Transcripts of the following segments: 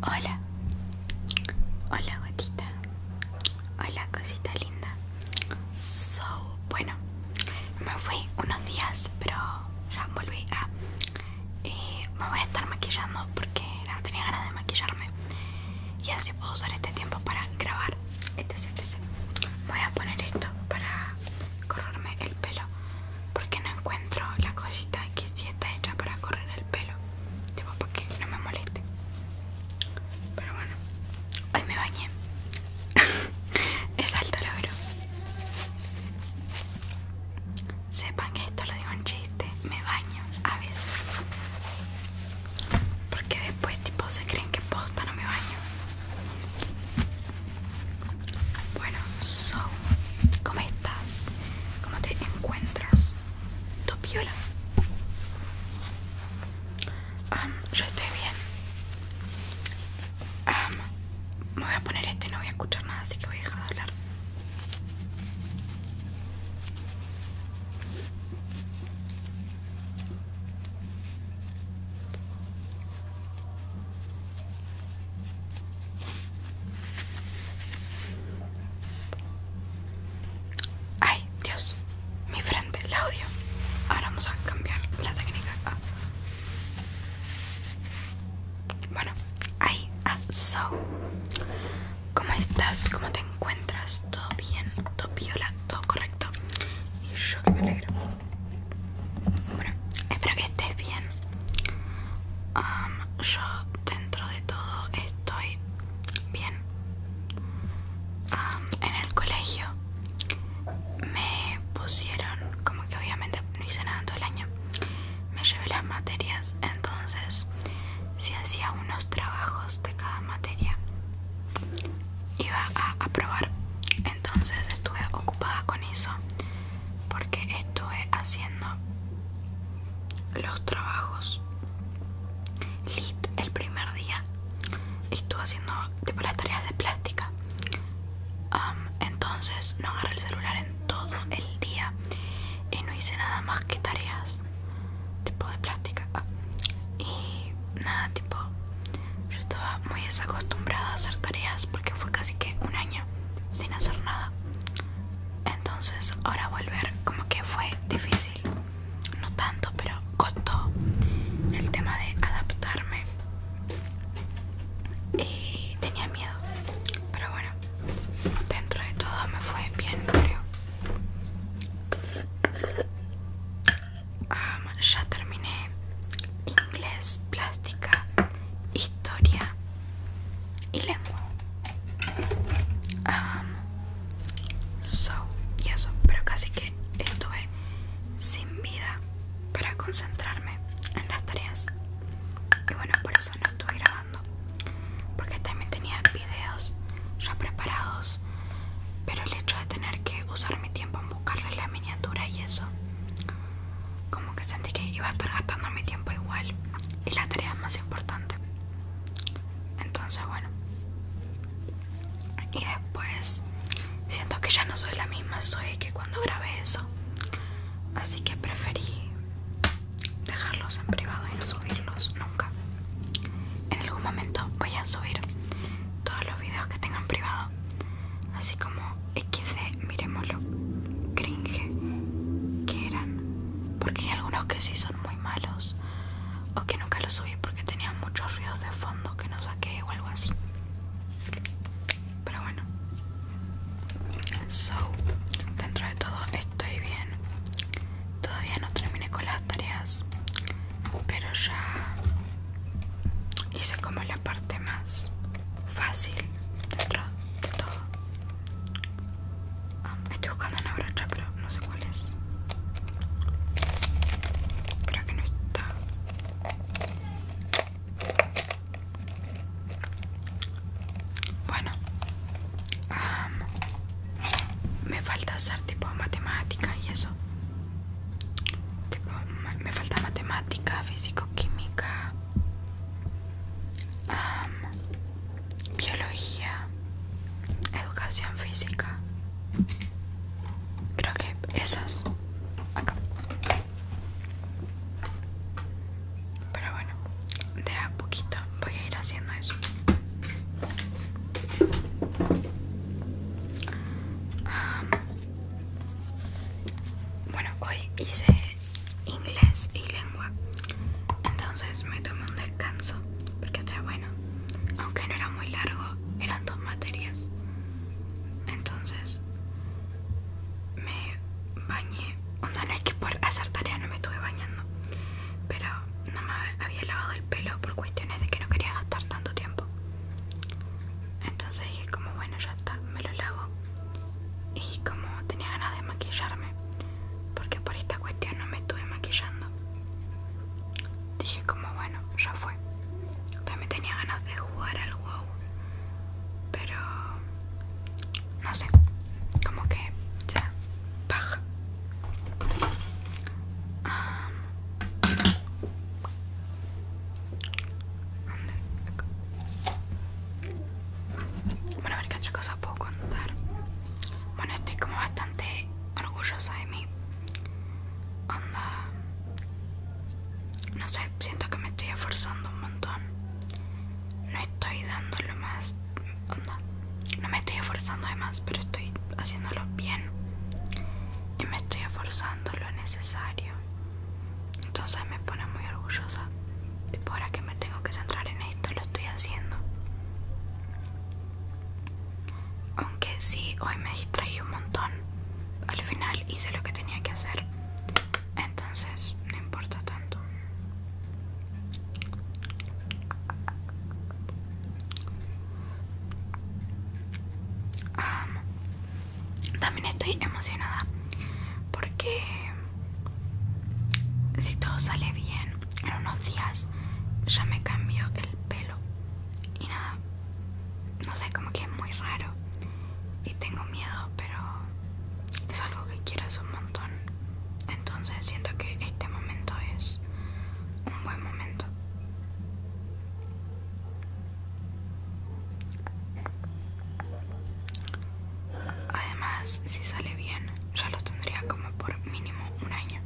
Hola, hola gotita, hola cosita linda. So, bueno, me fui unos días, pero ya volví a. Eh, me voy a estar maquillando porque no tenía ganas de maquillarme. Y así puedo usar este tiempo para grabar. este, este. Voy a poner esto para correrme el pelo porque no encuentro la cosita que si está hecha para correr el pelo tipo porque no me moleste pero bueno hoy me bañé es alto logro sepan que esto lo digo en chiste me baño a veces porque después tipo se creen que posta no me baño bueno, so, ¿cómo estás? ¿Cómo te encuentras? ¿Topiola? Um, yo estoy bien. me voy a poner este, no voy a escuchar nada, así que voy a dejar de hablar. Ay, Dios, mi frente, la odio. Ahora vamos a cambiar la técnica. Ah. Bueno, ay, ah, so. ¿Cómo estás? ¿Cómo te encuentras? ¿Todo bien? ¿Todo viola, ¿Todo correcto? Y yo que me alegro. Bueno, espero que estés bien. yo dentro de todo estoy bien. en el colegio me pusieron, como que obviamente no hice nada todo el año, me llevé las materias, entonces si hacía unos trabajos de cada materia iba a aprobar entonces estuve ocupada con eso porque estuve haciendo los trabajos lit el primer día estuve haciendo tipo las tareas de plástica entonces no agarré el celular en todo el día y no hice nada más que tareas tipo de plástica y nada tipo yo estaba muy desacostumbrada a hacer tareas porque fue casi que un año sin hacer nada. Entonces ahora volver como que fue difícil. No tanto, pero costó el tema de adaptarme. Y tenía miedo. Pero bueno, dentro de todo me fue bien, creo. ya terminé inglés, plástica historia y lengua. so, y eso, pero casi que estuve sin vida para concentrarme en las tareas. Y bueno, por eso no estuve grabando. Porque también tenía videos ya preparados. Pero el hecho de tener que usar mi tiempo en buscarle la miniatura y eso como que sentí que iba a estar gastando mi tiempo igual y la tarea más importante. Entonces, bueno. Y después siento que ya no soy la misma soy que cuando grabé eso. Así que preferí dejarlos en privado y no subirlos nunca. En algún momento voy a subir todos los videos que tengan privado. Así como XD, miremoslo, cringe, que eran. Porque hay algunos que sí son muy malos, o que nunca los subí porque tenían muchos ruidos de fondo que no saqué o algo así. Pero bueno, so, dentro de todo estoy bien. Todavía no terminé con las tareas, pero ya hice como lo parte más fácil de todo. Ah, estoy buscando una brocha, pero no sé cuál es. Creo que no está. Bueno, me falta hacer tipo matemática y eso me falta matemática, físico, química, biología, educación física. Creo que esas. Acá. Pero bueno, de a poquito voy a ir haciendo eso. Bueno, hoy hice inglés y lengua. Entonces me tomé un descanso porque está bueno. Aunque no era muy largo, eran dos materias. Entonces me bañé. no es que por hacer tarea no me estuve bañando. Pero no me había lavado el pelo por cuestiones de que no quería gastar tanto tiempo. Entonces dije como bueno ya está, me lo lavo. Y como tenía ganas de maquillarme, porque por esta cuestión no me estuve maquillando. Dije como bueno, ya fue. También tenía ganas de jugar al WoW. Pero no sé. Como que ya. baja ah, bueno, a ver qué otra cosa puedo contar. Bueno, estoy como bastante orgullosa de mí. Onda. No sé, siento que me estoy esforzando un montón. No estoy dando lo más. Onda. No me estoy esforzando de más, pero estoy haciéndolo bien. Y me estoy esforzando lo necesario. Entonces me pone muy orgullosa. Tipo, ahora que me tengo que centrar en esto, lo estoy haciendo. Aunque sí, hoy me distraje un montón. Al final hice lo que tenía que hacer. Entonces, no importa tanto. También estoy emocionada porque si todo sale bien, en unos días ya me cambio el pelo. Y nada, no sé, como que es muy raro. Y tengo miedo, pero es algo que quiero un montón. Entonces siento que este momento es un buen momento. Además, si sale bien, ya lo tendría como por mínimo un año.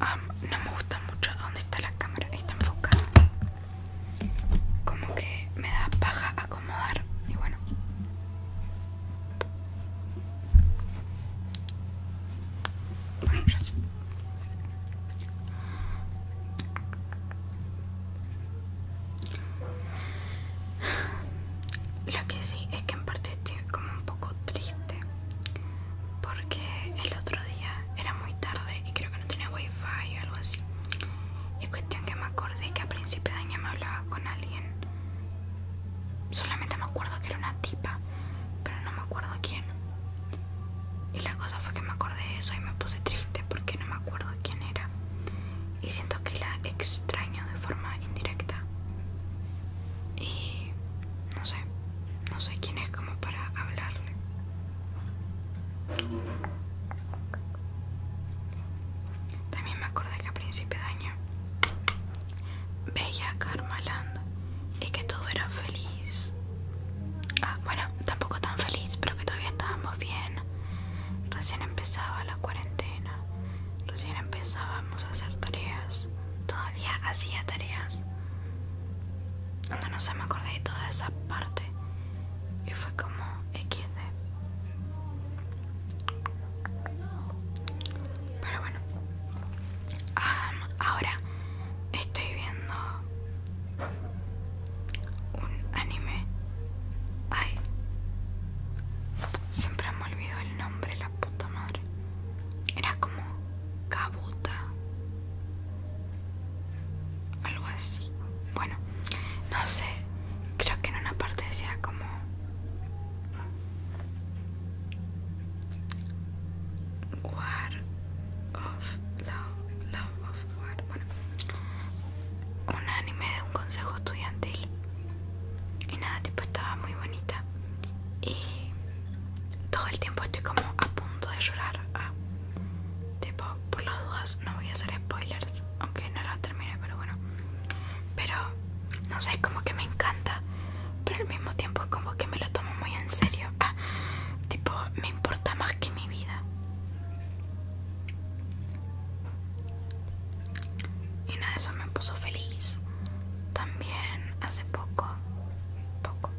Ah, no me gusta mucho dónde está la cámara, está enfocada como que me da paja acomodar y bueno lo que sí es que en parte estoy como un poco triste porque el otro día era muy tarde y creo que no tenía wifi o algo así y cuestión que me acordé que a principio de año me hablaba con alguien. Solamente me acuerdo que era una tipa, pero no me acuerdo quién. Y la cosa fue que me acordé de eso y me puse triste porque no me acuerdo quién era. Y siento que la extraño de forma indirecta. Y no sé, no sé quién es como para hablarle. También me acordé que a principio de año veía a Karmaland y que todo era feliz. Ah, bueno, tampoco tan feliz, pero que todavía estábamos bien. Recién empezaba la cuarentena, recién empezábamos a hacer tareas, todavía hacía tareas. No, no sé, me acordé de toda esa parte como XD. Pero bueno. ahora estoy viendo un anime. Ay. Siempre me olvido el nombre, la puta madre. Era como Kabuta algo así. Bueno, no sé, creo que en una parte decía como War of Love, Love of War. Bueno, un anime de un consejo estudiantil. Y nada, tipo estaba muy bonita. Y todo el tiempo estoy como a punto de llorar. tipo, por las dudas no voy a hacer spoilers, aunque no la terminé, pero bueno. Pero no sé, es como que me encanta, pero al mismo tiempo es como que me lo tomo muy en serio. Ah, tipo, me importa más que mi vida. Y nada, eso me puso feliz. También hace poco, poco,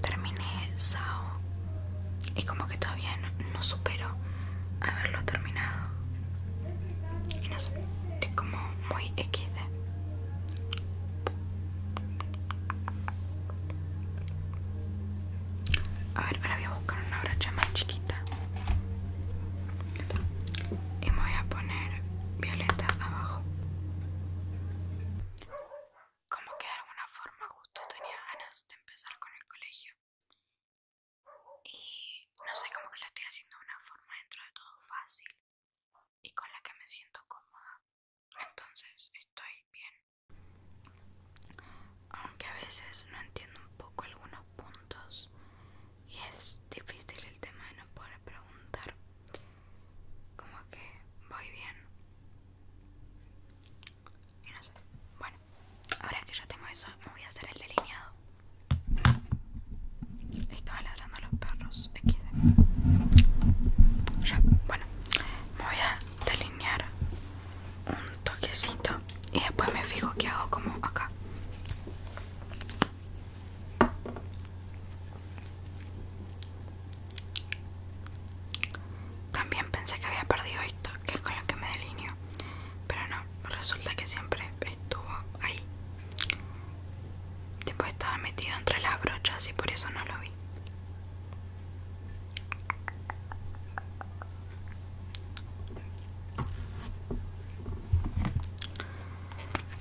terminé Sao y como que todavía no, supero haberlo terminado y no sé, es como muy XD a ver, ahora voy a buscar una brocha más chiquita y voy a poner violeta abajo como que de alguna forma justo tenía ganas de empezar con el colegio. Y no sé, como que lo estoy haciendo de una forma dentro de todo fácil y con la que me siento cómoda. Entonces estoy bien. Aunque a veces no entiendo un poco algunos puntos y es difícil el tema de no poder preguntar. Como que voy bien. Y no sé. Bueno, ahora que ya tengo eso, me voy a hacer el delineado. estaba ladrando los perros. bueno, me voy a delinear un toquecito y después me fijo que hago como acá. También pensé que había perdido esto, que es con lo que me delineo, pero no, resulta que siempre estuvo ahí. después estaba metido entre las brochas y por eso no lo vi.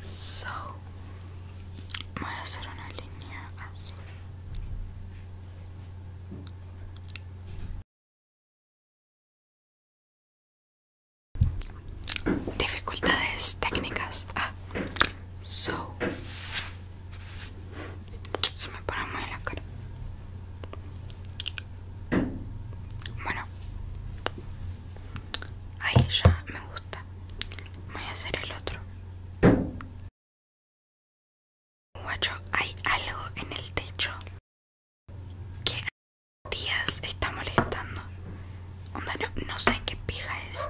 So, voy a hacer una línea así. Dificultades técnicas. Ah, so. me pone muy en la cara. Bueno, ahí ya me gusta. Voy a hacer el otro hay algo en el techo que días está molestando. no, sé qué pija es,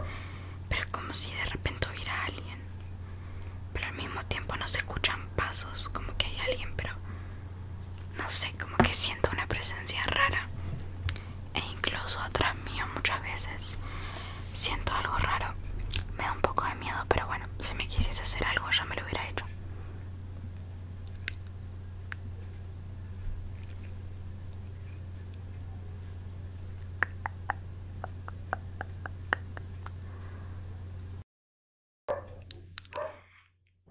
pero es como si de repente hubiera alguien. Pero al mismo tiempo no se escuchan pasos, como que hay alguien, pero no sé, como que siento una presencia rara. E incluso atrás mío muchas veces Siento algo raro. Me da un poco de miedo, pero bueno, si me quisiese hacer algo ya me lo hubiera hecho.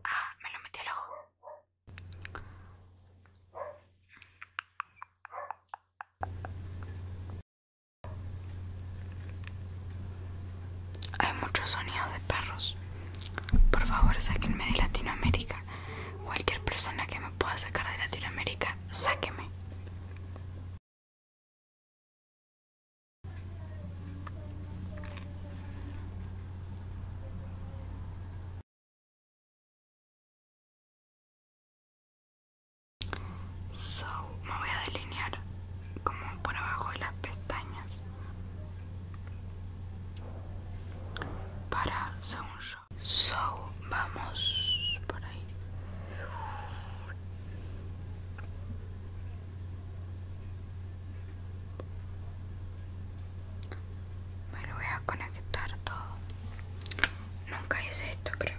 Ah, me lo metí al ojo. Hay muchos sonidos de perros. Por favor, sáquenme de Latinoamérica. Cualquier persona que me pueda sacar de Latinoamérica, sáqueme. So, me voy a delinear como por abajo de las pestañas para según yo. So, vamos por ahí. Me lo voy a conectar todo. Nunca hice esto, creo.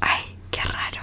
Ay, qué raro.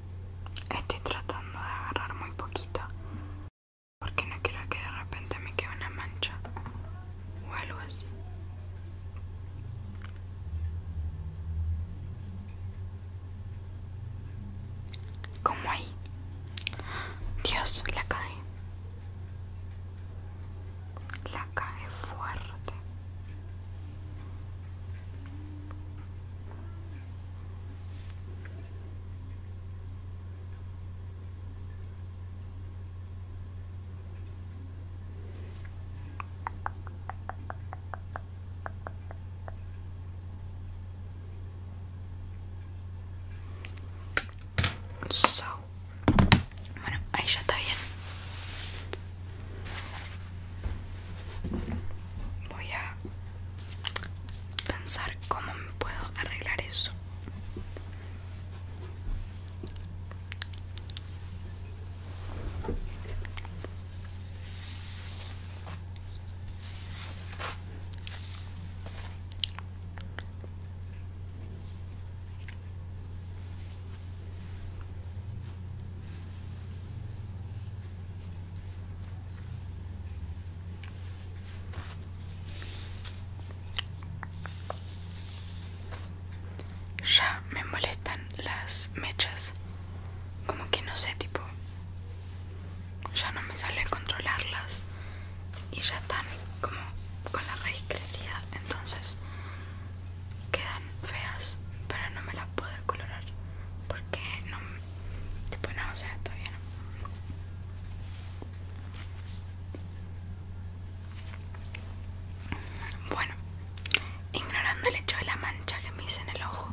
Estoy tratando de agarrar muy poquito porque no quiero que de repente me quede una mancha o algo así. Como ahí. Dios, la caí. La cae fuerte. So, aí já está bien. voy a pensar cómo me puedo arreglar eso ya me molestan las mechas, como que no sé, tipo, ya no me sale controlarlas y ya están como con la raíz crecida, entonces quedan feas, pero no me las puedo colorar porque no me Después no, o sea, Bueno, ignorando el hecho de la mancha que me hice en el ojo,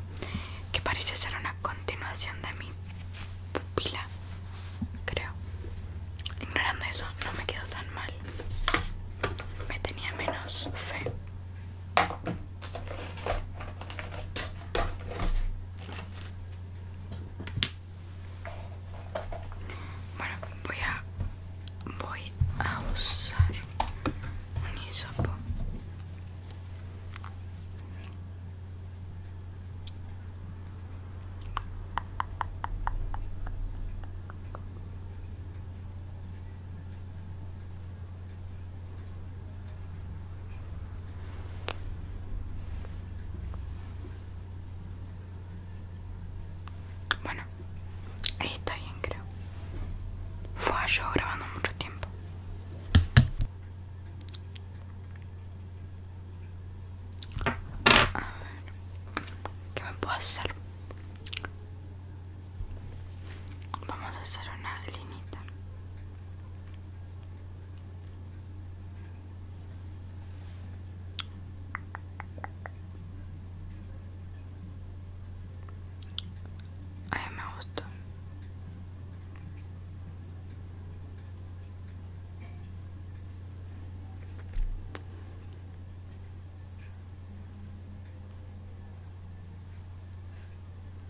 que parece ser una continuación de mi pupila, creo. Ignorando eso, no me quedó tan mal. Me tenía menos fe. Bueno, voy a voy a usar un hisopo. Bueno, ahí está bien, creo. Fue yo grabando mucho tiempo. A ¿qué me puedo hacer? Vamos a hacer una linita. Ay, me gustó.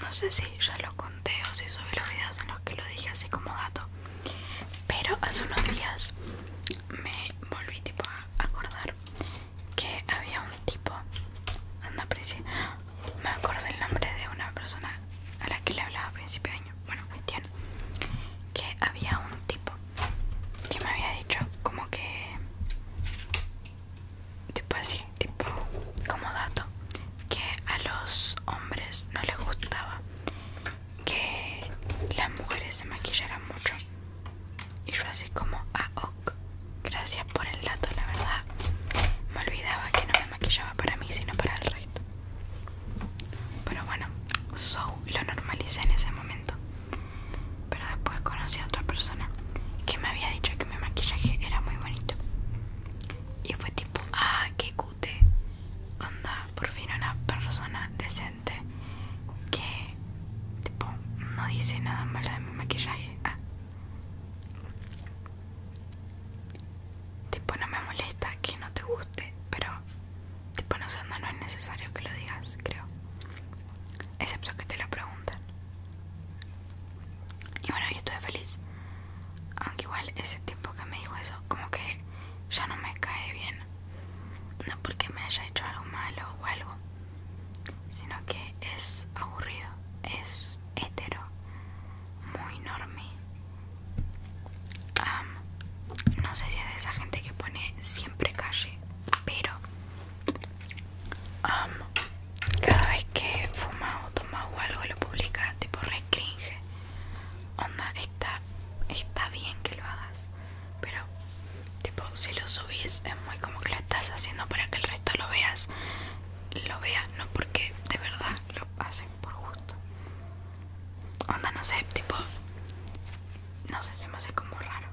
no sé si ya lo conté o si subí los videos en los que lo dije así como dato pero hace unos días me volví tipo a acordar que había un tipo me acuerdo el nombre de una persona a la que le hablaba a principio de año bueno cuestión que había un tipo que me había dicho como que tipo así, tipo como dato, que a los hombres no les gustaba que las mujeres se maquillaran mucho. Y yo así como, A ah, ok, gracias por el dato, la verdad. Me olvidaba que no me maquillaba para mí, sino para el resto. Pero bueno, so lo normalicé en ese momento. Pero después conocí a otra persona que me había dicho que mi maquillaje era muy bonito. Y fue tipo, ah, qué cute. Onda, por fin una persona decente que tipo no dice nada malo de mi maquillaje. Ah. Tipo no me molesta que no te guste, pero tipo no sé, no, no es necesario que lo digas, creo. Excepto que te lo preguntan. Y bueno, yo estoy feliz. Aunque igual ese tiempo que me dijo eso, como que ya no me cae bien. No porque me haya hecho algo malo o algo, sino que es aburrido, es hetero, muy enorme no sé si es de esa gente que pone siempre calle, pero cada vez que fuma o toma o algo lo publica, tipo re Onda, está, está bien que lo hagas, pero tipo si lo subís es muy como que lo estás haciendo para que el resto lo veas, lo vea, no porque de verdad lo hacen por gusto. Onda, no sé, tipo, no sé, se me hace como raro.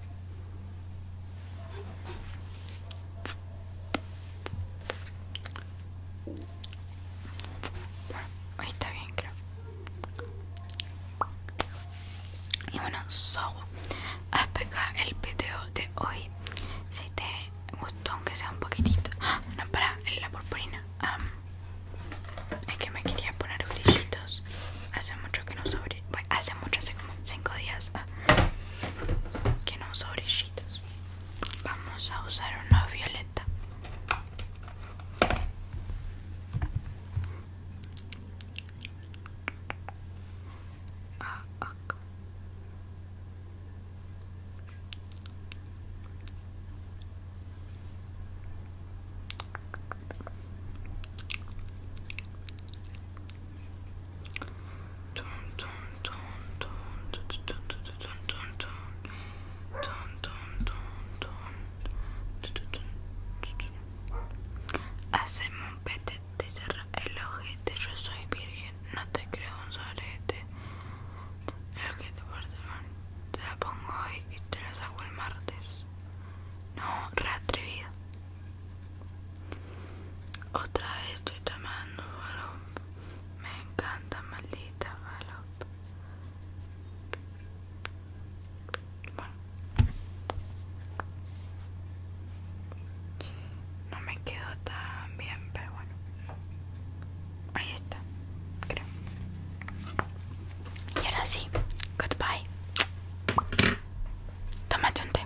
Bueno, ahí está bien, creo. Y bueno, so, hasta acá el video de hoy. Si te gustó, aunque sea un poquitito. Ah, no, para, la purpurina. es que me quería poner brillitos. Hace mucho que no sobre hace mucho, hace como 5 días ah, que no uso brillitos. Vamos a usar una violeta. Haceme un petete de cerra el ojete. Yo soy virgen, no te creo un solete. El que te te la pongo hoy y te la saco el martes. No, re otra vez estoy tomando Falop Me encanta, maldita Falop Bueno. No me quedó tan bien, pero bueno. Ahí está, creo. Y ahora sí, goodbye. Tómate un té.